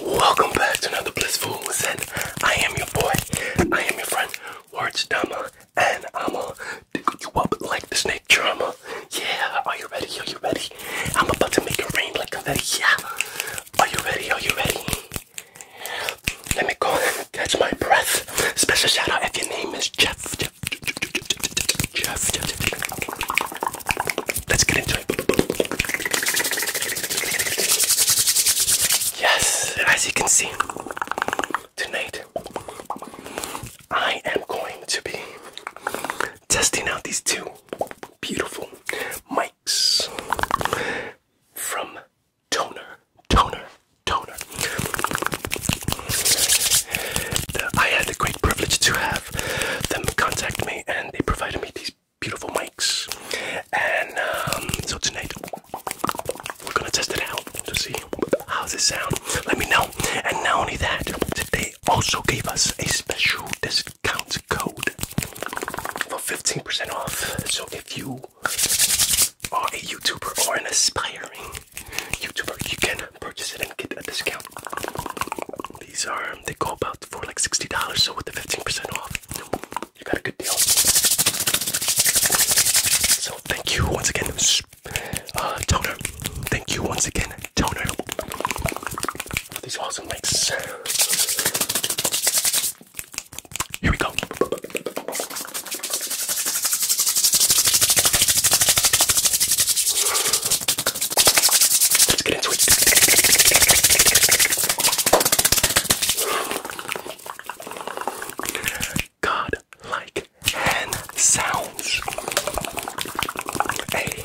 Welcome back to another Blissful Ascent. I am your boy. I am your friend, Words, Dama, and I'ma tickle you up like the snake charmer. Yeah, are you ready? Are you ready? I'm about to make it rain like a confetti. Yeah. Are you ready? Are you ready? Let me go and catch my breath. Special shout out if your name is Jeff. Jeff, Jeff, Jeff, Jeff. Let's get into it. Yes, and as you can see, tonight I am going to be testing out these two beautiful mics from Toner, Toner, Toner. I had the great privilege to have them contact me, and they provided me these beautiful mics. And um, so tonight we're gonna test it out to see how it sound. Let me know. And not only that, they also gave us a special discount code for 15% off. So if you are a YouTuber or an aspiring YouTuber, you can purchase it and get a discount. These are, they go about for like $60, so with the 15% off, you got a good deal. So thank you once again, uh, Toner. Thank you once again, these awesome links. Here we go. God like hand sounds. Hey,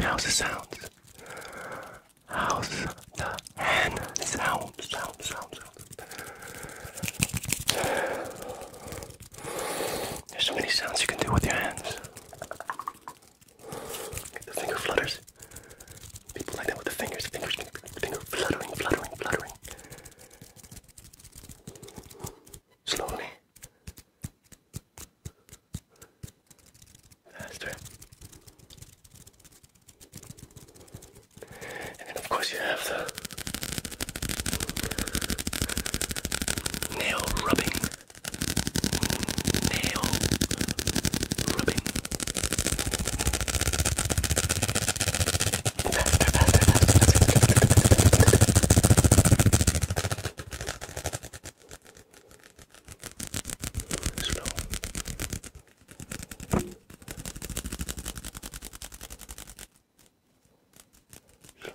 How's the sound? How's the hand sound? Sound, sound, sound. There's so many sounds you can do with your hands. the finger flutters. People like that with the fingers. Fingers, finger fluttering, fluttering, fluttering. Slowly. Faster. And of course, you have the Nail rubbing. Nail rubbing. Faster, faster, faster. Slow slow.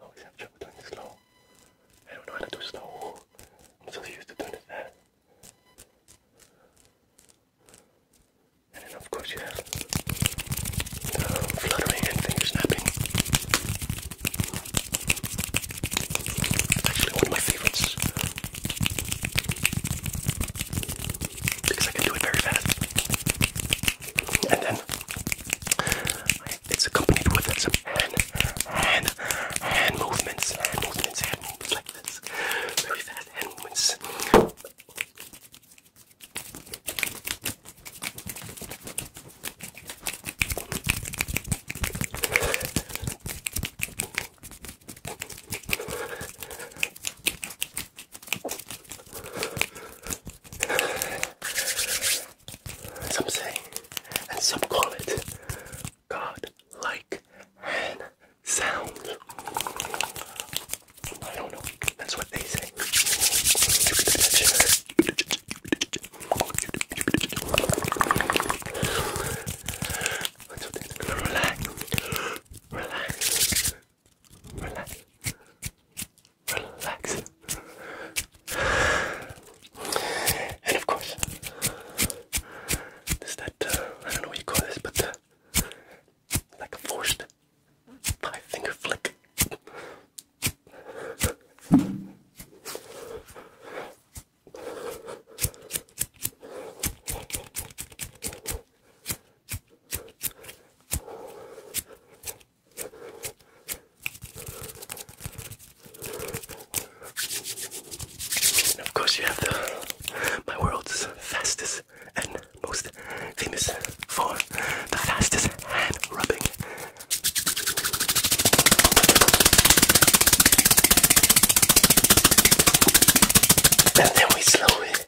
always oh, have trouble doing it slow. I don't know how to do slow. I'm so used to doing it fast. And then of course you have um, fluttering and finger snapping. Actually one of my favorites because I can do it very fast. And then it's accompanied with some hand, hand, hand movements, hand movements, hand movements like this. Very fast hand movements. Some say, and some call it God like hand sound. I don't know. That's what they say. Relax relax, relax. And of course, there's that, uh, I don't know what you call this, but uh, like a forced five finger flick. And of course, you have the my world's fastest and most famous for the fastest hand rubbing. And then we slowly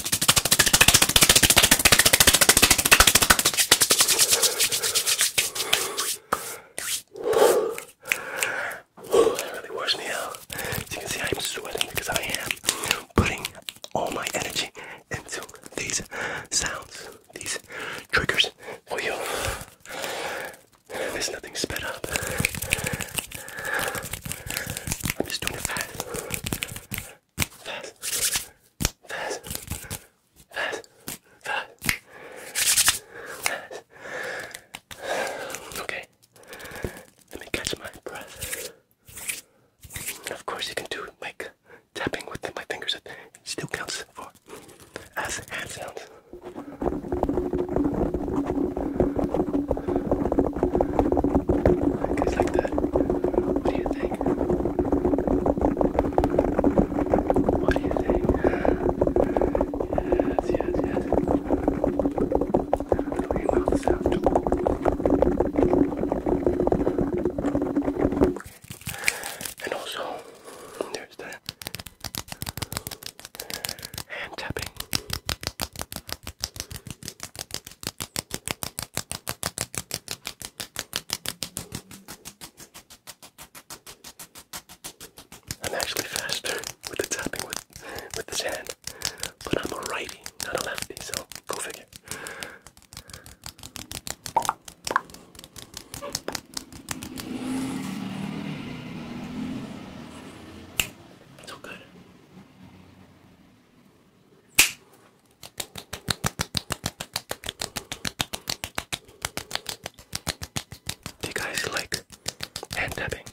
That really washed me out. As you can see, I'm sweating because I am putting all my energy into these sounds, these triggers for you. There's nothing sped up. I'm just doing it fast fast, fast, fast, fast, fast. Okay, let me catch my breath. And of course, you can do like tapping with my fingers. It still counts for as hand sounds. Guys, like that. What do you think? think? What do you think? Yes, yes, yes. Clean all this out. And also, there's the hand tapping. I'm actually faster with the tapping with with this hand, but I'm a righty, not a lefty, so go figure. So good. Do you guys like hand tapping?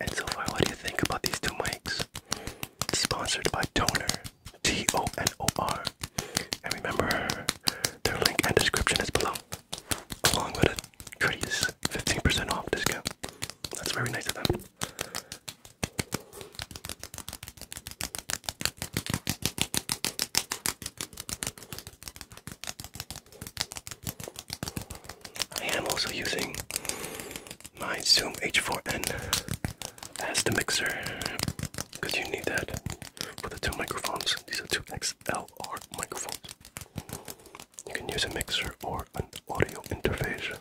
And so what do you think about these two mics? Sponsored by Toner, T O N O R. And remember, their link and description is below, along with a courteous 15% off discount. That's very nice of them. I am also using my Zoom H4n as the mixer because you need that for the two microphones. These are two XLR microphones. You can use a mixer or audio interface.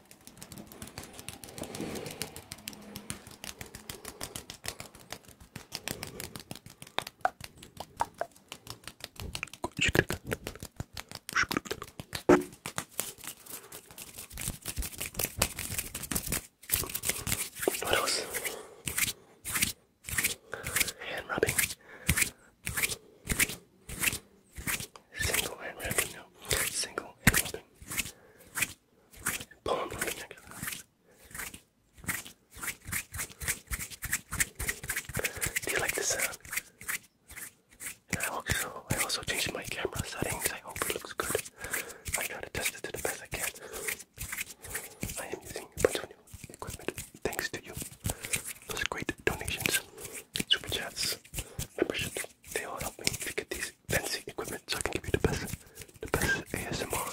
What else? Hand rubbing. Single and rapping now. Single and rapping. Poem right to that. Do you like the And I also, I also changed my camera settings. I hope it looks good. I try to test it to the best I can. I am using a equipment thanks to you those great donations, super chats, memberships. They all help me to get these fancy equipment so I can give you the best, the best ASMR.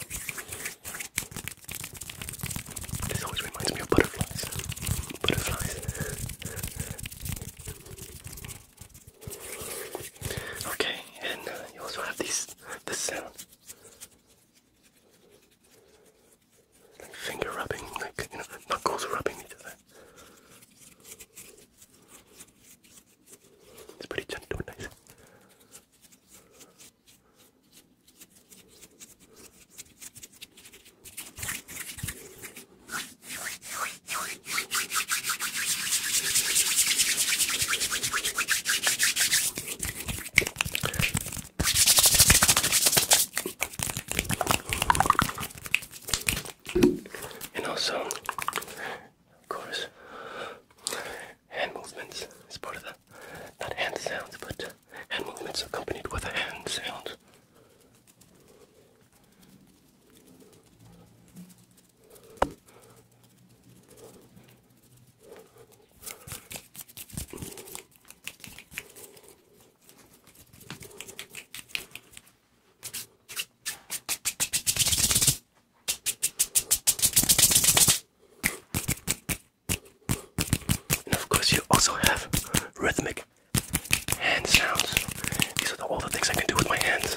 This always reminds me of butterflies. Butterflies. Okay, and uh, you also have these, this sound like finger rubbing, like you know, knuckles rubbing each other. It's pretty gentle and nice. And also, of course, hand movements is part of the not hand sounds, but hand movements accompanied with a hand sound. And of course, you also have rhythmic hand sounds. These all the things I can do with my hands.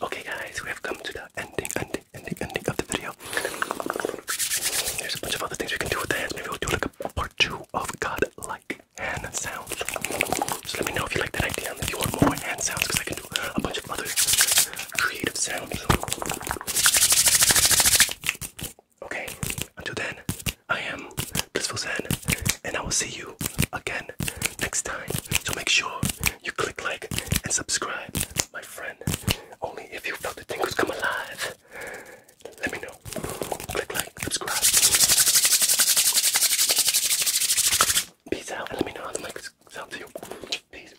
Okay guys, we have come to the ending, ending, the in the ending of the video. There's a bunch of other things we can do with the hands. Maybe we'll do like a part two of God-like hand sounds. So let me know if you like that idea and if you want more hand sounds because I can do a bunch of other creative sounds. Okay, until then, I am Blissful Zen, and I will see you again next time. So make sure you click like and subscribe, my only if you felt the tingles come alive. Let me know. Click like, subscribe. Peace out. Let me know how the mic sounds to you. Peace.